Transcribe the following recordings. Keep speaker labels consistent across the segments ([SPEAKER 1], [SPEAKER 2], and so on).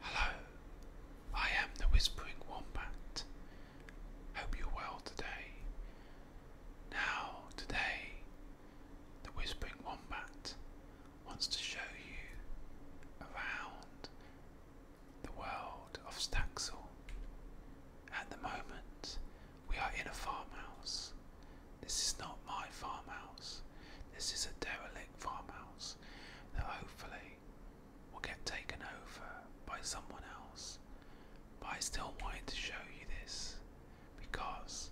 [SPEAKER 1] Hello, I am the Whispering Wombat. Hope you're well today. Now, today, the Whispering Wombat wants to show you around the world of Staxel. At the moment, we are in a farmhouse. This is not my farmhouse, this is a derelict farmhouse that hopefully will get taken over by someone else. But I still wanted to show you this because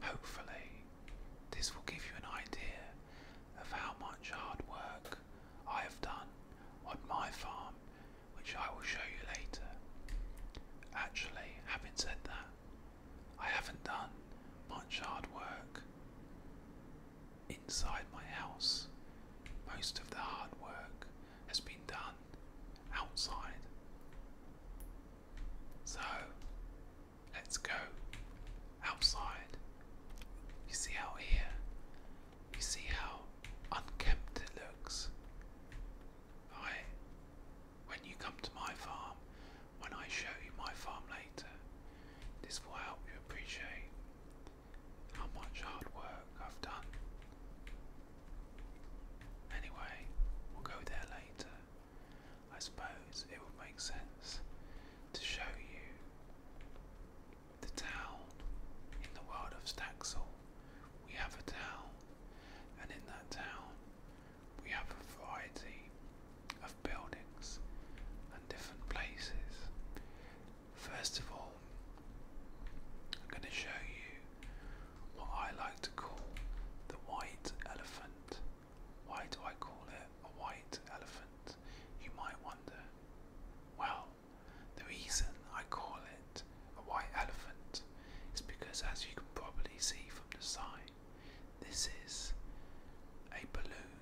[SPEAKER 1] hopefully this will give you an idea of how much hard work I have done on my farm, which I will show you later. Actually, having said that, I haven't done much hard work. Inside my house, most of the hard work has been done outside. So, let's go outside. You see out here, you see how unkempt it looks. Right? When you come to my farm, when I show you my farm later. This will help you appreciate how much hard work I've done. Anyway, we'll go there later. I suppose it would make sense to show you the town in the world of Staxel. We have a town, and in that town, we have a variety of buildings and different places. First of all, I'm going to show you what I like to call the white elephant. Why do I call it a white elephant? You might wonder. Well, the reason I call it a white elephant is because, as you can probably see from the side, this is a balloon,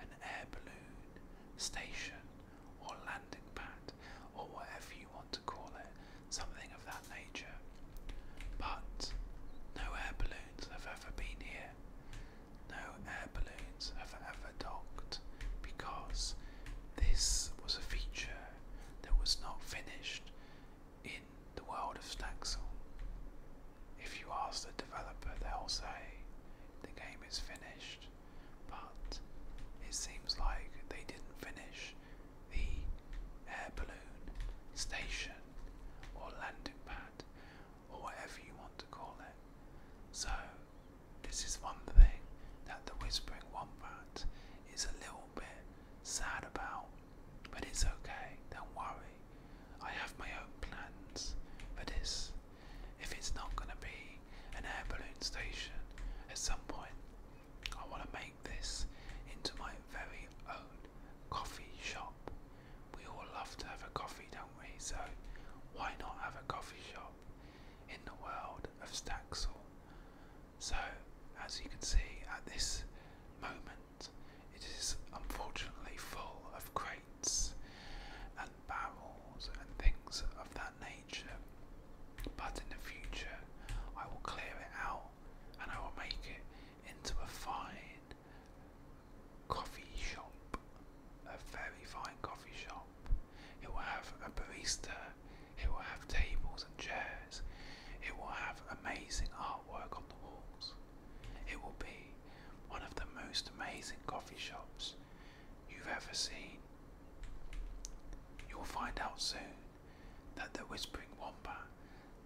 [SPEAKER 1] an air balloon, station, or landing pad, or whatever you want to call it, something of that nature. But no air balloons have ever been here. No air balloons have ever docked because this was a feature that was not finished in the world of Staxel, If you ask the developer, they'll say the game is finished, but it seems like they didn't finish the air balloon station or landing pad or whatever you want to call it. So, this is one thing that the Whispering Wombat is a little bit sad about but it's okay, don't worry. I have my own plans for this. If it's not going to be an air balloon station, at some point I want to make this into my very own coffee shop. We all love to have a coffee, don't we? So why not have a coffee shop in the world of Staxel? So, as you can see at this moment, it is unfortunately full of crates and barrels and things of that nature. But in the future, I will clear it out and I will make it into a fine coffee shop. A very fine coffee shop. It will have a barista, it will have tables and chairs, it will have amazing artwork on the walls. It will be one of the most amazing coffee shops you've ever seen. You'll find out soon that the Whispering Wombat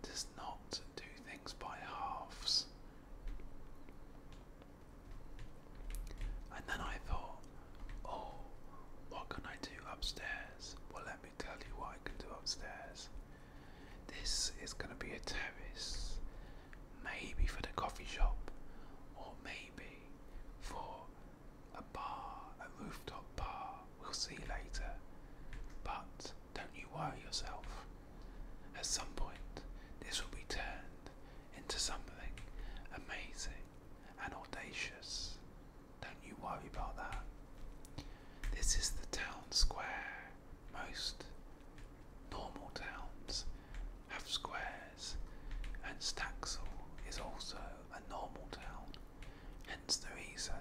[SPEAKER 1] does not do things by halves. And then I thought, oh, what can I do upstairs? Well, let me tell you what I can do upstairs. This is going to be a terrace, maybe for the coffee shop, or maybe for a bar, a rooftop bar. We'll see later. But don't you worry yourself. At some point, this will be turned into something amazing and audacious. Don't you worry about that. This is the town square most normal towns have squares, and Staxel is also a normal town, hence the reason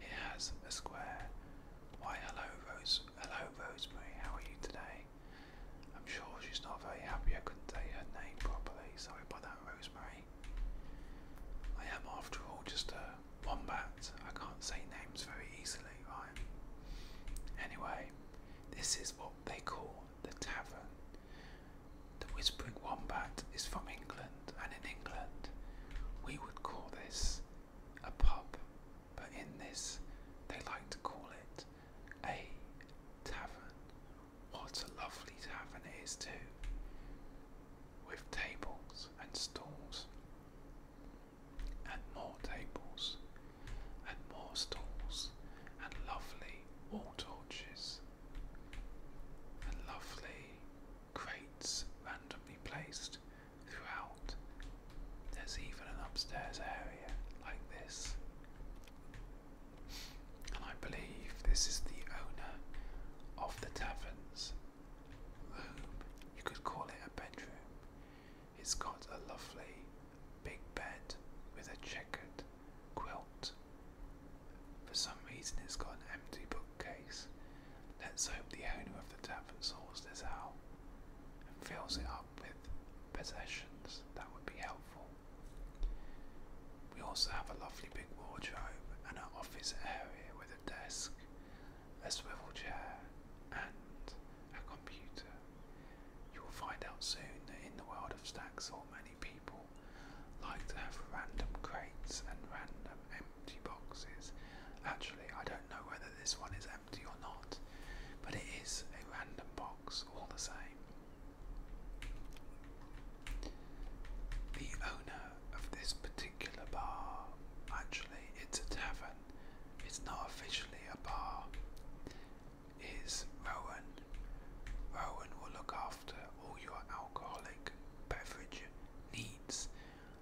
[SPEAKER 1] it has a square. Why, hello, Rose, hello, Rosemary, how are you today? I'm sure she's not very happy I couldn't say her name properly. Sorry about that, Rosemary. I am, after all, just a Wombat. I can't say names very easily, right? Anyway, this is what they call the tavern. The Whispering Wombat is from England, and in England, we would call this a pub, but in this, they like to call it a tavern. What a lovely tavern it is, too, with tables and stools and more tables, and more stools, and lovely wall torches, and lovely crates randomly placed throughout. There's even an upstairs area like this. And I believe this is the owner of the taverns you could call it a bedroom. It's got a lovely big bed with a checkered quilt. For some reason, it's got an empty bookcase. Let's hope the owner of the tavern sorts this out and fills it up with possessions that would be helpful. We also have a lovely big wardrobe and an office area with a desk a swivel chair, and a computer. You will find out soon that in the world of stacks, Staxel, many people like to have random crates and random empty boxes. Actually, I don't know whether this one is empty or not, but it is a random box all the same. The owner of this particular bar. Actually, it's a tavern. It's not officially a bar. Is Rowan. Rowan will look after all your alcoholic beverage needs.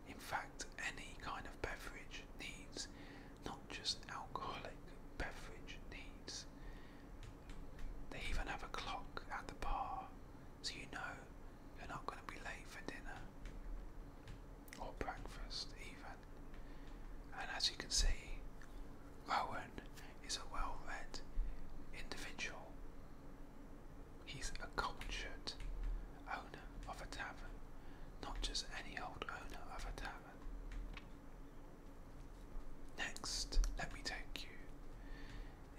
[SPEAKER 1] In fact, any kind of beverage needs, not just alcoholic beverage needs. They even have a clock at the bar, so you know you're not going to be late for dinner or breakfast, even. And as you can see, Rowan is a well read individual. He's a cultured owner of a tavern, not just any old owner of a tavern. Next, let me take you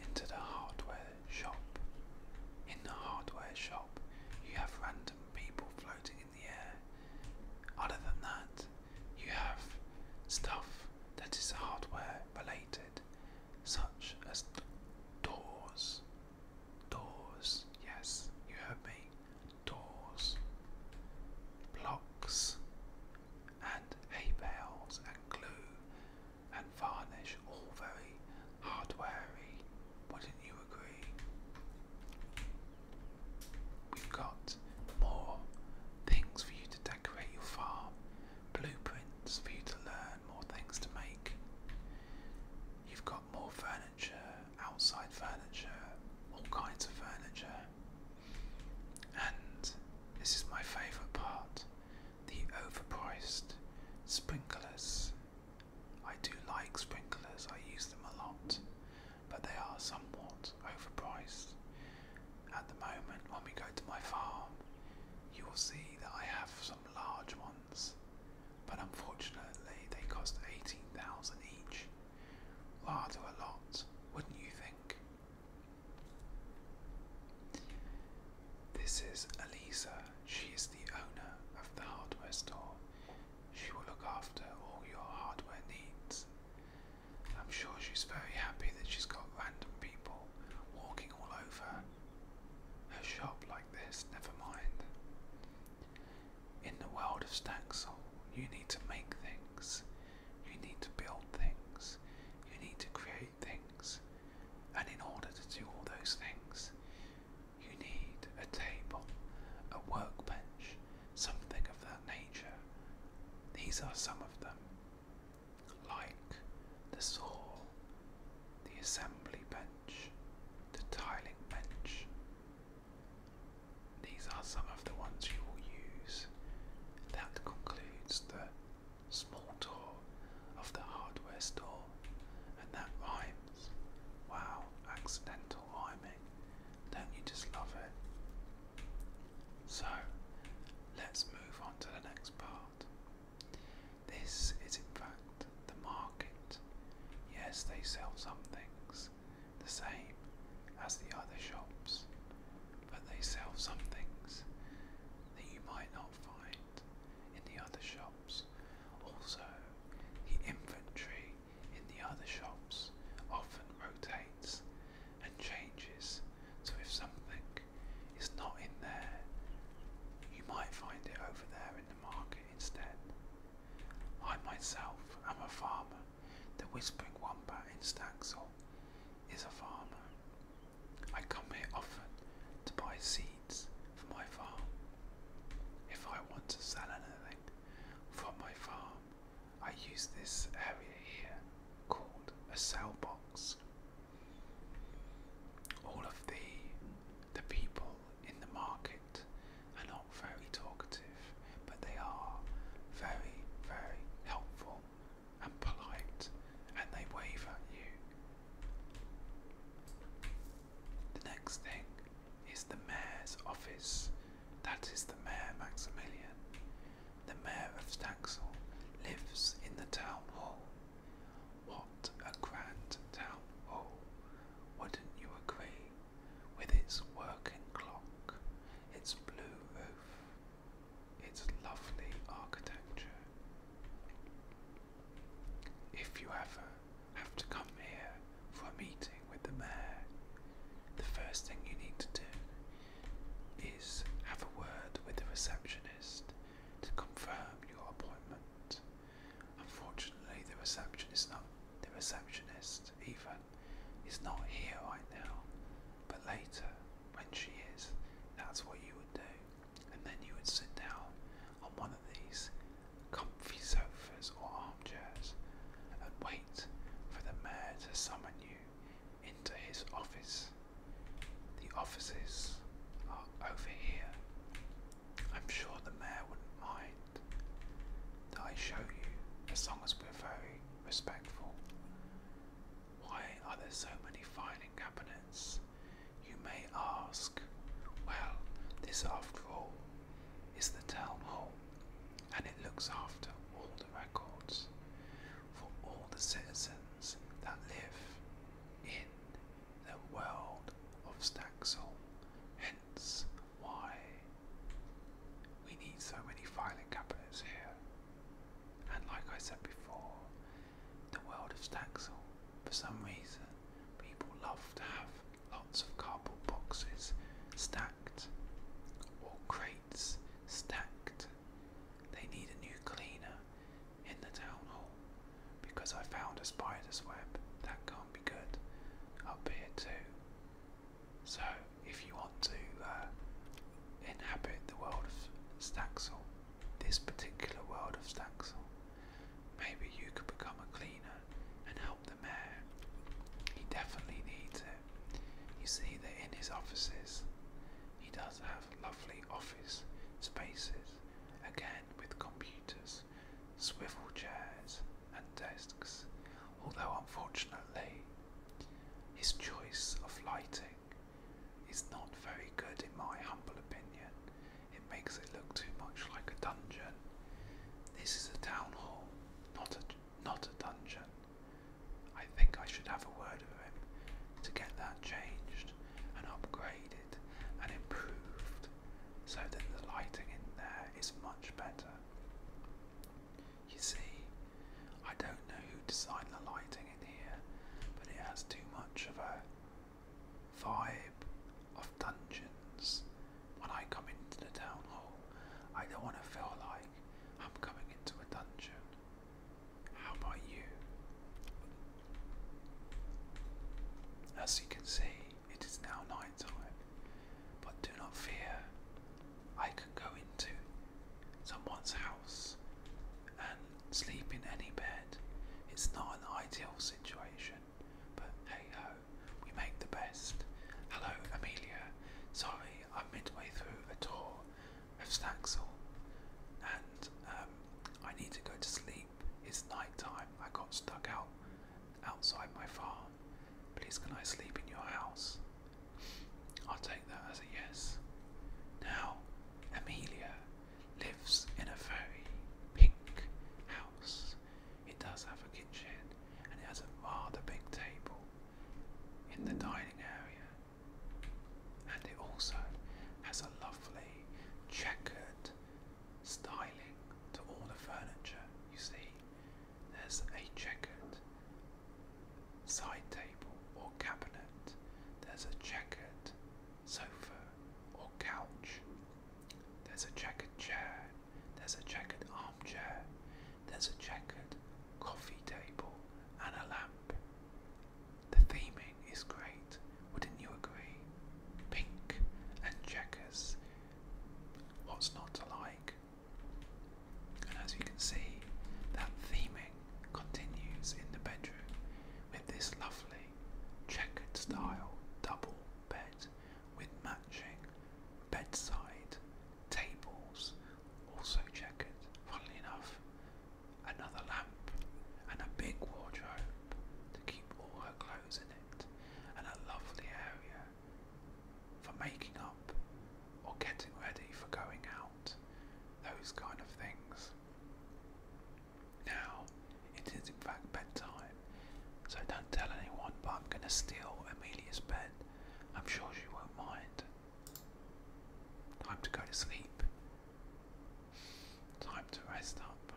[SPEAKER 1] into the hardware shop. In the hardware shop, you have random people floating in the air. Other than that, you have stuff that is hardware related, such as doors. Doors, yes, you heard me. Doors, blocks, and hay bales and glue and varnish, all very hardwarey, wouldn't you agree? We've got more things for you to decorate your farm, blueprints for you to learn, more things to make. You've got more furniture, outside furniture, all kinds of furniture. And this is my favourite part the overpriced sprinklers I do like sprinklers, I use them a lot, but they are somewhat overpriced. At the moment, when we go to my farm, you will see that I have some large ones, but unfortunately, they cost 18,000 each. Rather a lot, wouldn't you think? This is Elisa. She is the owner of the hardware store. She will look after all your hardware needs. I'm sure she's very happy that she's got random people walking all over her shop like this, never mind. In the world of Staxel, you need to make things, you need to build things, you need to create things, and in order to do all those things, you need a table, a workbench, something of that nature. These are some of them, like the saw, the assembly bench, the tiling bench. These are some of the ones you will use. That concludes the small tour of the hardware store and that rhymes. Wow, accidental rhyming. Don't you just love it? So, let's move on to the next part. This is, in fact, the market. Yes, they sell some things the same as the other shops, but they sell some things that you might not not find in the other shops. Also, the inventory in the other shops often rotates and changes, so if something is not in there, you might find it over there in the market instead. I myself am a farmer. The Whispering Wombat in Staxel is a farmer. I come here often to buy seed for my farm. If I want to sell anything from my farm, I use this area here called a sell box. All of the the people in the market are not very talkative, but they are very, very helpful and polite, and they wave at you the next thing is the mayor's office. That is the mayor Maximilian. The mayor of Staxel lives in the town hall. What a grand town hall! Wouldn't you agree? With its working clock, its blue roof, its lovely architecture. If you ever have to come here for a meeting with the mayor, the first thing you need to do is have a word with the receptionist to confirm your appointment. Unfortunately, the receptionist not the receptionist even is not here right now, but later when she is, that's what you would do and then you would sit down on one of these comfy sofas or armchairs and wait for the mayor to summon you into his office. The offices are over here. I'm sure the mayor wouldn't mind that I show you as long as we're very respectful. Why are there so many filing cabinets? You may ask. Well, this, after all, is the town hall, and it looks after all the records for all the citizens that live in the world of Staxel. Hence why we need so many filing cabinets here. And like I said before, the world of Staxel. For some reason, people love to have lots of cardboard boxes stacked or crates stacked. They need a new cleaner in the town hall because I found a spider's web. That can't be good up here too. So, if you want to uh, inhabit the world of Staxel, this particular world of Staxel, Maybe you could become a cleaner and help the mayor. He definitely needs it. You see that in his offices, he does have lovely office spaces, again with computers, swivel chairs, and desks, although unfortunately, his choice of lighting is not very good in my humble opinion, it makes it look too much like a dungeon. This is a town hall, not a not a dungeon. I think I should have a word with him to get that changed and upgraded and improved so that the lighting in there is much better. You see, I don't know who designed the lighting in here, but it has too much of a vibe of dungeons. When I come into the town hall, I don't want to feel like I'm coming into a dungeon. How about you? As you can see, it is now night time, but do not fear, I can go into someone's house and sleep in any bed. It's not an ideal situation, but hey ho, we make the best. Hello, Amelia. Sorry, I'm midway through a tour of Staxel, and um, I need to go to sleep. It's nighttime. I got stuck out outside my farm. Please, can I sleep in your house? I'll take that as a yes. Now, Amelia, lives in a very pink house. It does have a kitchen and it has a rather big table in the dining area. And it also has a lovely checkered styling to all the furniture. You see, there's a checkered side table or cabinet, there's a checkered sofa, or couch. There's a checkered chair, there's a checkered armchair, there's a checkered coffee table, and a lamp. The theming is great, wouldn't you agree? Pink and checkers. What's not to like? And as you can see, that theming continues in the bedroom with this lovely checkered style double bed with matching bedside tables, also checkered, funnily enough, another lamp and a big wardrobe to keep all her clothes in it, and a lovely area for making up or getting ready for going out, those kind of things. Now, it is in fact bedtime, so don't tell anyone, but I'm going to steal Amelia's bed. I'm sure she won't mind. Time to go to sleep. Time to rest up.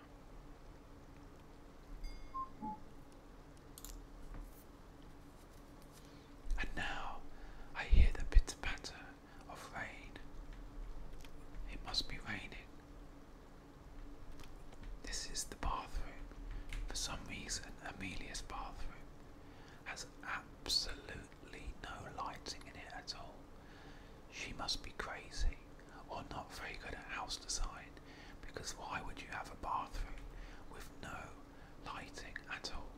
[SPEAKER 1] And now I hear the pitter patter of rain. It must be raining. This is the bathroom. For some reason, Amelia's bathroom has absolutely no lighting in it at all. She must be crazy or not very good at house design because why would you have a bathroom with no lighting at all?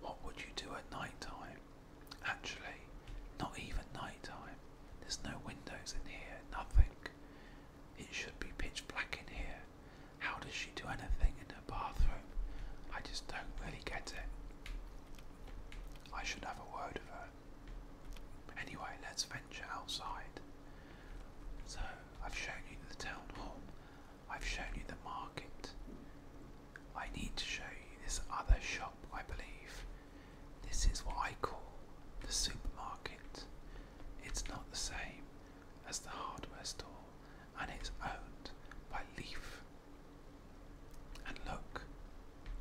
[SPEAKER 1] What would you do at night time? Actually, not even nighttime. There's no windows in here, nothing. It should be pitch black in here. How does she do anything in her bathroom? I just don't really get it. I should have a word with her. Anyway, let's venture outside. So, I've shown you the town hall, I've shown you the market. I need to show you this other shop, I believe. This is what I call the supermarket. It's not the same as the hardware store, and it's owned by Leaf. And look,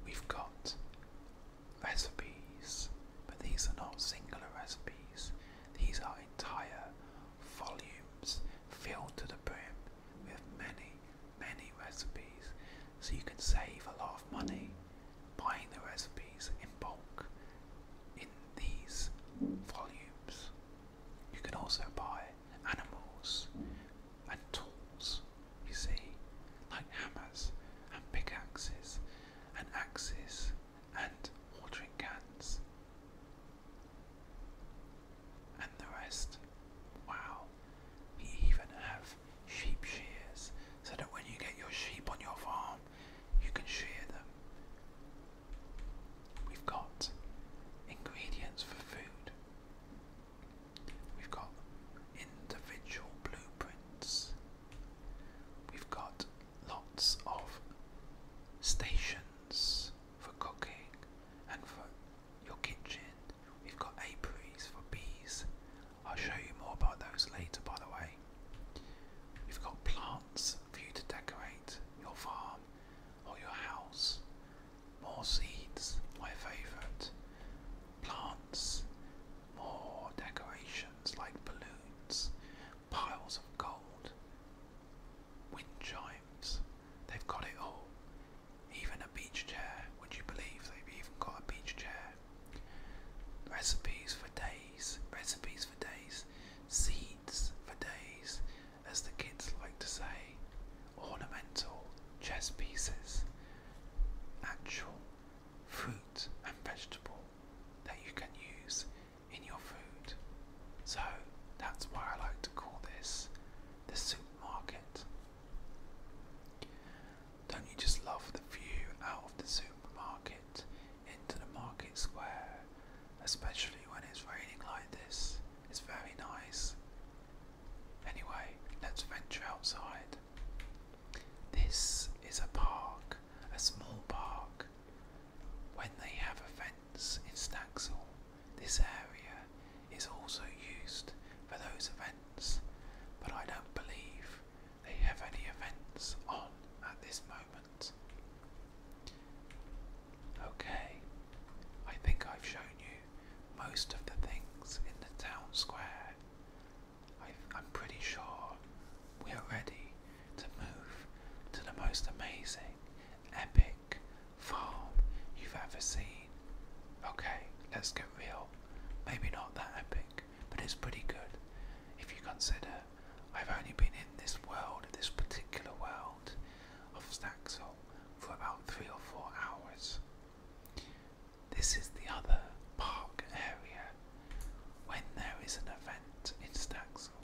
[SPEAKER 1] we've got recipes, but these are not singular recipes, these are entire volumes filled to the brim with many, many recipes so you can save a lot of money buying the recipes in bulk in these volumes. You can also buy animals and tools, you see, like hammers and pickaxes and axes and watering cans and the rest. Wow, we even have sheep shears so that when you get your sheep on your farm, you can shear them. We've got ingredients for food. We've got individual blueprints. We've got lots of stations for cooking and for your kitchen. We've got apiaries for bees. I'll show you more about those later, by the way. We've got plants for you to decorate your farm or your house. More seeds, my favourite. Plants, more decorations like balloons, piles of gold, wind chimes. They've got it all. Even a beach chair, would you believe they've even got a beach chair? Recipes for days, recipes for days, seeds for days, as the kids like to say, ornamental chess pieces, actual fruit and vegetable that you can use in your food. So that's why I like to call this the supermarket. Don't you just love the view out of the supermarket into the market square, especially when it's raining like this? It's very nice. Anyway, let's venture outside. This is a park, a small park. When they have events in Snaxall, this area is also used for those events, but I don't believe they have any events on at this moment. Okay, I think I've shown you most of the things in the town square. i am pretty sure we're ready to move to the most amazing, epic, farm you've ever seen. Okay, let's get real. Maybe not that epic, but it's pretty good. If you consider, I've only been in this world, this particular world of Staxel, for about three or four hours. This is the other park area when there is an event in Staxel.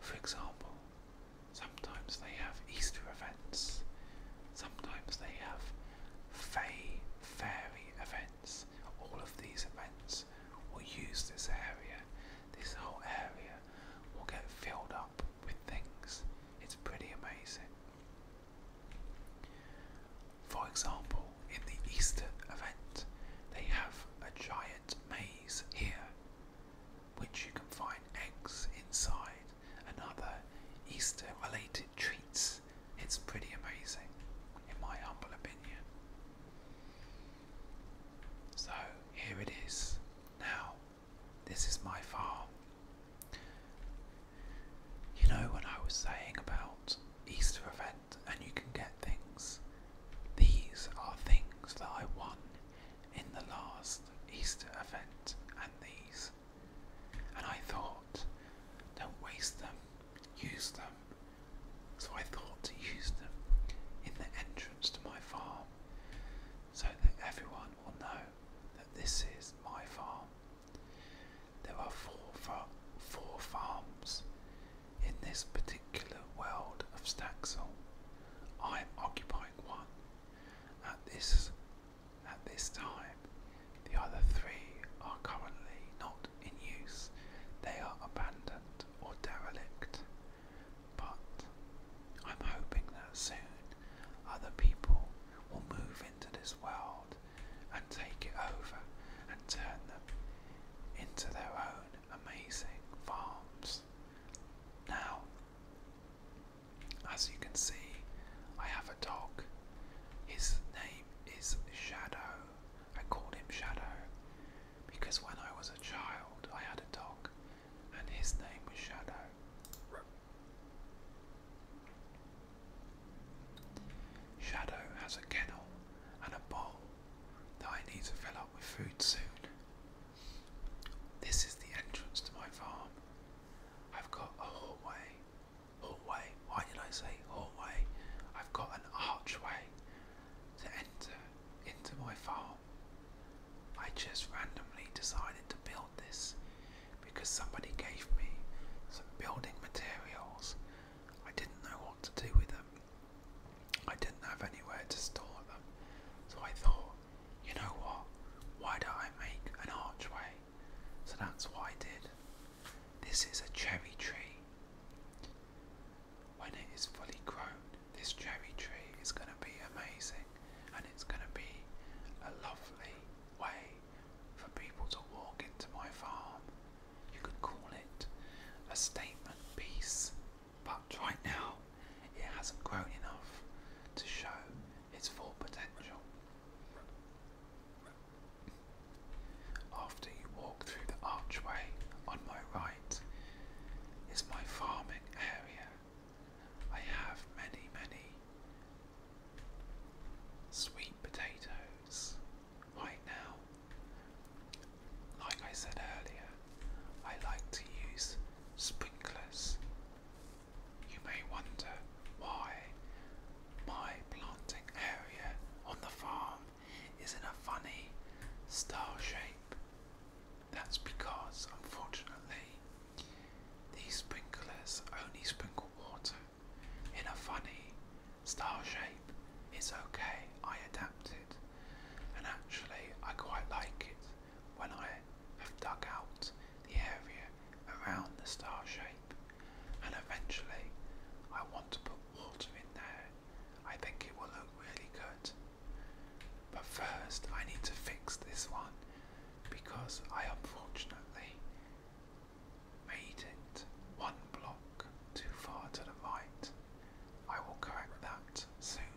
[SPEAKER 1] For example, Sometimes they have Easter events. Sometimes they have Fae Fairy events. All of these events will use this area. This whole area will get filled up with things. It's pretty amazing. For example, in the Easter event, they have a giant maze here, which you can find eggs inside. Another Easter related treats. It's pretty amazing, in my humble opinion. So here it is. Now, this is my farm. You know, what I was saying about Easter event and you can get things, these are things that I won in the last Easter event, and these and I thought, don't waste them, use them. So I thought to use them in the entrance to my farm so that everyone will know that this is my farm. There are four, four farms in this particular world of Staxel. I am occupying one. At this at this time. The other three are currently not in use, they are abandoned or derelict. But I'm hoping that soon other people will move into this world and take it over and turn them into their own amazing farms. Now, as you can see, I have a dog. His name is Shadow. I called him Shadow because when I was a child, I had a dog and his name was Shadow. Shadow has a kennel and a bowl that I need to fill up with food soon. This is the entrance to my farm. I've got a hallway. Hallway. Why did I say hallway? I've got an archway to enter into my farm. I just randomly decided to build this because somebody gave me some building materials. I didn't know what to do with them. I didn't have anywhere to store them. So I thought you know what? Why don't I make an archway? So that's what I did. This is a cherry tree. When it is fully grown, this cherry tree is going to be amazing and it's going to be a lovely way for people to walk into my farm. You could call it a statement piece, but right now it hasn't grown enough to show its full potential. After you walk through the archway on my right is my farming area. I have many, many sweet potatoes right now. Like I said earlier, I like to use sprinklers you may wonder why my planting area on the farm is in a funny star shape. That's because, unfortunately, these sprinklers only sprinkle water in a funny star shape. It's okay, I adapted, and actually, I quite like it when I have dug out the area around the star shape and eventually I want to put water in there. I think it will look really good. But first I need to fix this one because I unfortunately made it one block too far to the right. I will correct that soon.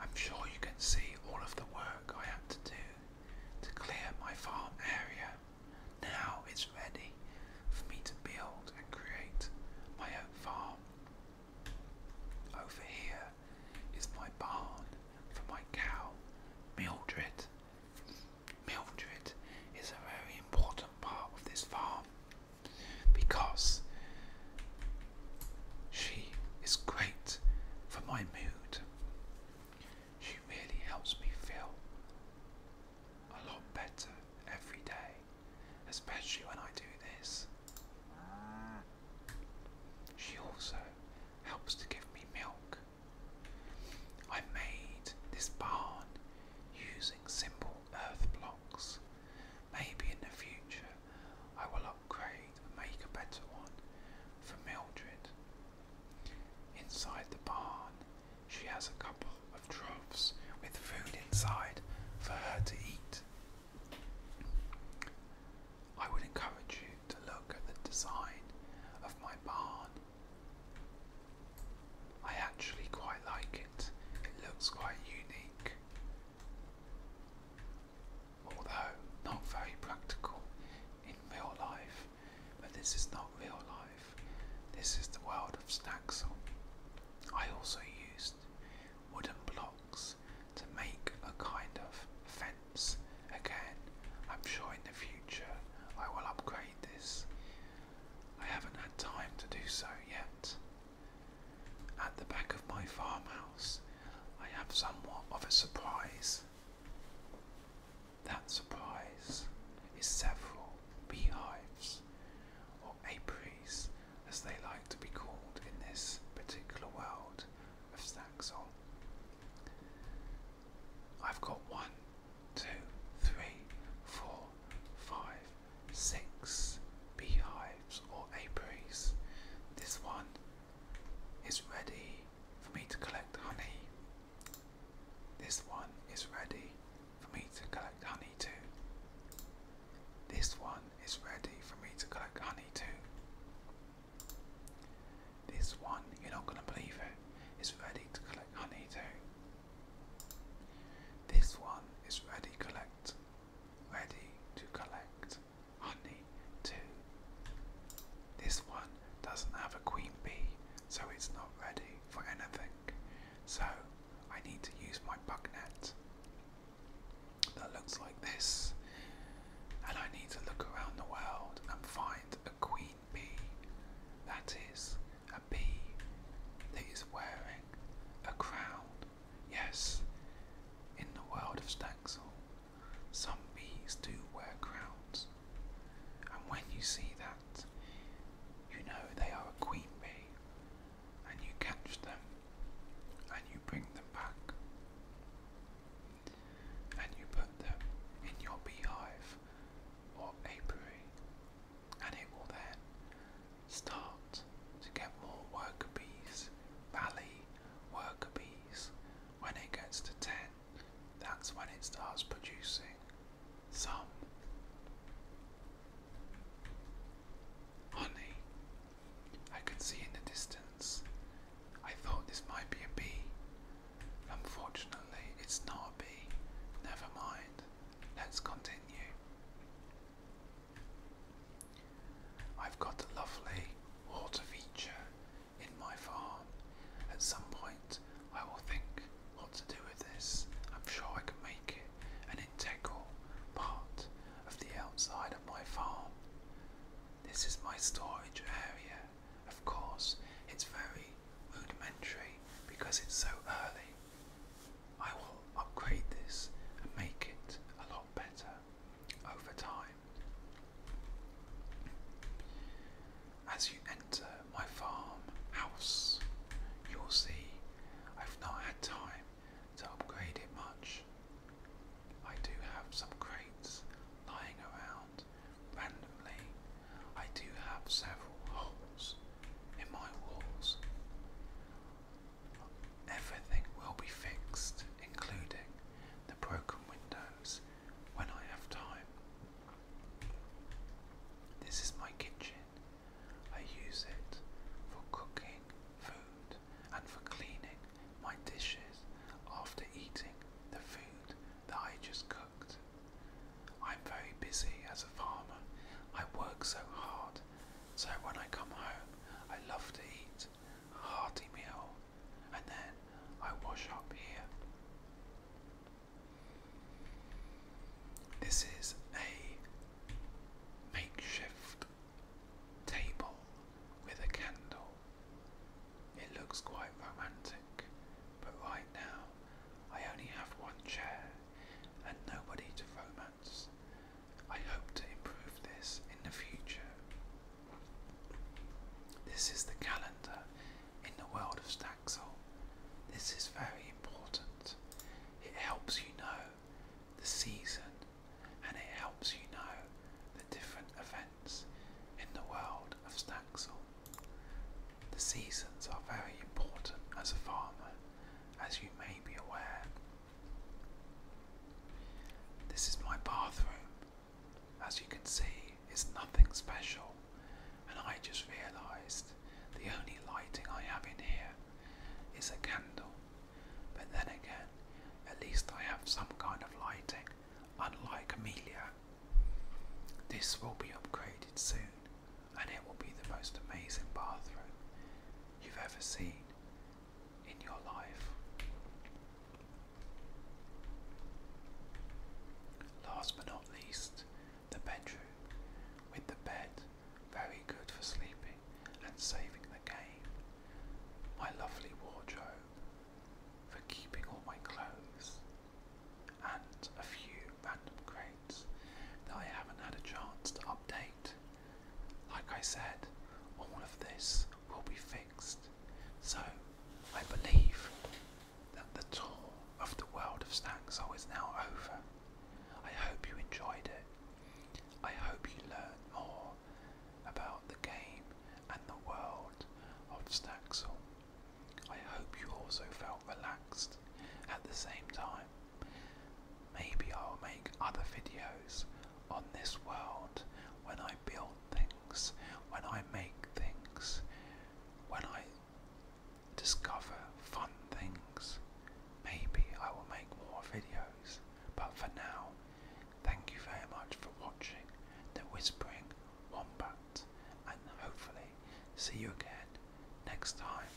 [SPEAKER 1] I'm sure you can see all of the work I had to do to clear my farm area. Now it's ready for me to build and create my own farm. Over here is my barn for my cow, Mildred. Mildred is a very important part of this farm because she is great for my mood. She really helps me feel a lot better every day, especially when I do this. She also helps to give me milk. I made this barn using simple earth blocks. Maybe in the future I will upgrade and make a better one for Mildred. Inside the barn, she has a couple of troughs with food inside for her to eat. I would encourage you to look at the design of my barn. I actually quite like it, it looks quite unique although not very practical in real life. But this is not real life, this is the world of Snaxel. I also used wooden blocks to make a kind of fence. Again, I'm sure in the future I will upgrade this. I haven't had time to do so yet, at the back of my farmhouse, I have somewhat of a surprise. That surprise is several beehives, or apiaries as they like to be called in this particular world of Saxon. I've got one, two, three, four, five, six beehives or apiaries. This one is ready for me to collect honey. This one is ready for me to collect honey too. This one is ready for me to collect honey too. This one, you're not gonna believe it, is ready to collect honey too. This one is ready collect ready to collect honey too. This one doesn't have a queen bee, so it's not ready for anything. So I need to use my bug net that looks like this. And I need to look around the world and find a queen bee. That is a bee that is wearing a crown Yes, in the world of Staxel, some bees do wear crowns, and when you see that, you know they are a queen bee, and you catch them and you bring them back, and you put them in your beehive or apiary, and it will then start to get more worker bees, valley worker bees. When it gets to 10, that's when it starts producing some honey. I could see in the distance. I thought this might be a bee. Unfortunately, it's not a bee. Never mind. Let's continue. I've got a lovely water feature in my farm. At some point, I will think what to do with this. I'm sure I can make it an integral part of the outside of my farm. This is my storage area. Of course, it's very rudimentary because it's so early. I will upgrade this and make it a lot better over time. As you enter my farm you'll see I've not had time to upgrade it much. I do have some crates lying around randomly. I do have several holes in my walls. Everything will be fixed, including the broken windows, when I have time. This is my kitchen. I use it for cooking food and for cleaning my dishes after eating the food that I just cooked. I'm very busy as a farmer. I work so hard so when I come home, I love to eat a hearty meal and then I wash up here. This is a makeshift table with a candle. It looks quite romantic, but right now I only have one chair and nobody to romance. I hope to improve this in the future. This is the calendar in the world of Staxel. This is very important. It helps you know the season and it helps you know the different events in the world of Staxel. The seasons are very important as a farmer, as you may be aware. This is my bathroom. As you can see, it's nothing special, and I just realised the only lighting I have in here is a candle. But then again, at least I have some kind of lighting, unlike Amelia. This will be upgraded soon, and it will be the most amazing bathroom you've ever seen in your life. Last but not least, the bedroom, with the bed very good for sleeping and saving the game. My lovely wardrobe for keeping all my clothes, and a few random crates that I haven't had a chance to update like I said, all of this will be fixed. So I believe that the tour of the world of Staxel is now over. I hope you enjoyed it. I hope you learned more about the game and the world of Staxel. I hope you also felt relaxed at the same time. Maybe I'll make other videos on this world when I build things, when I make things, when I discover fun things. Maybe I will make more videos, but for now, thank you very much for watching The Whispering Wombat, and hopefully see you again next time.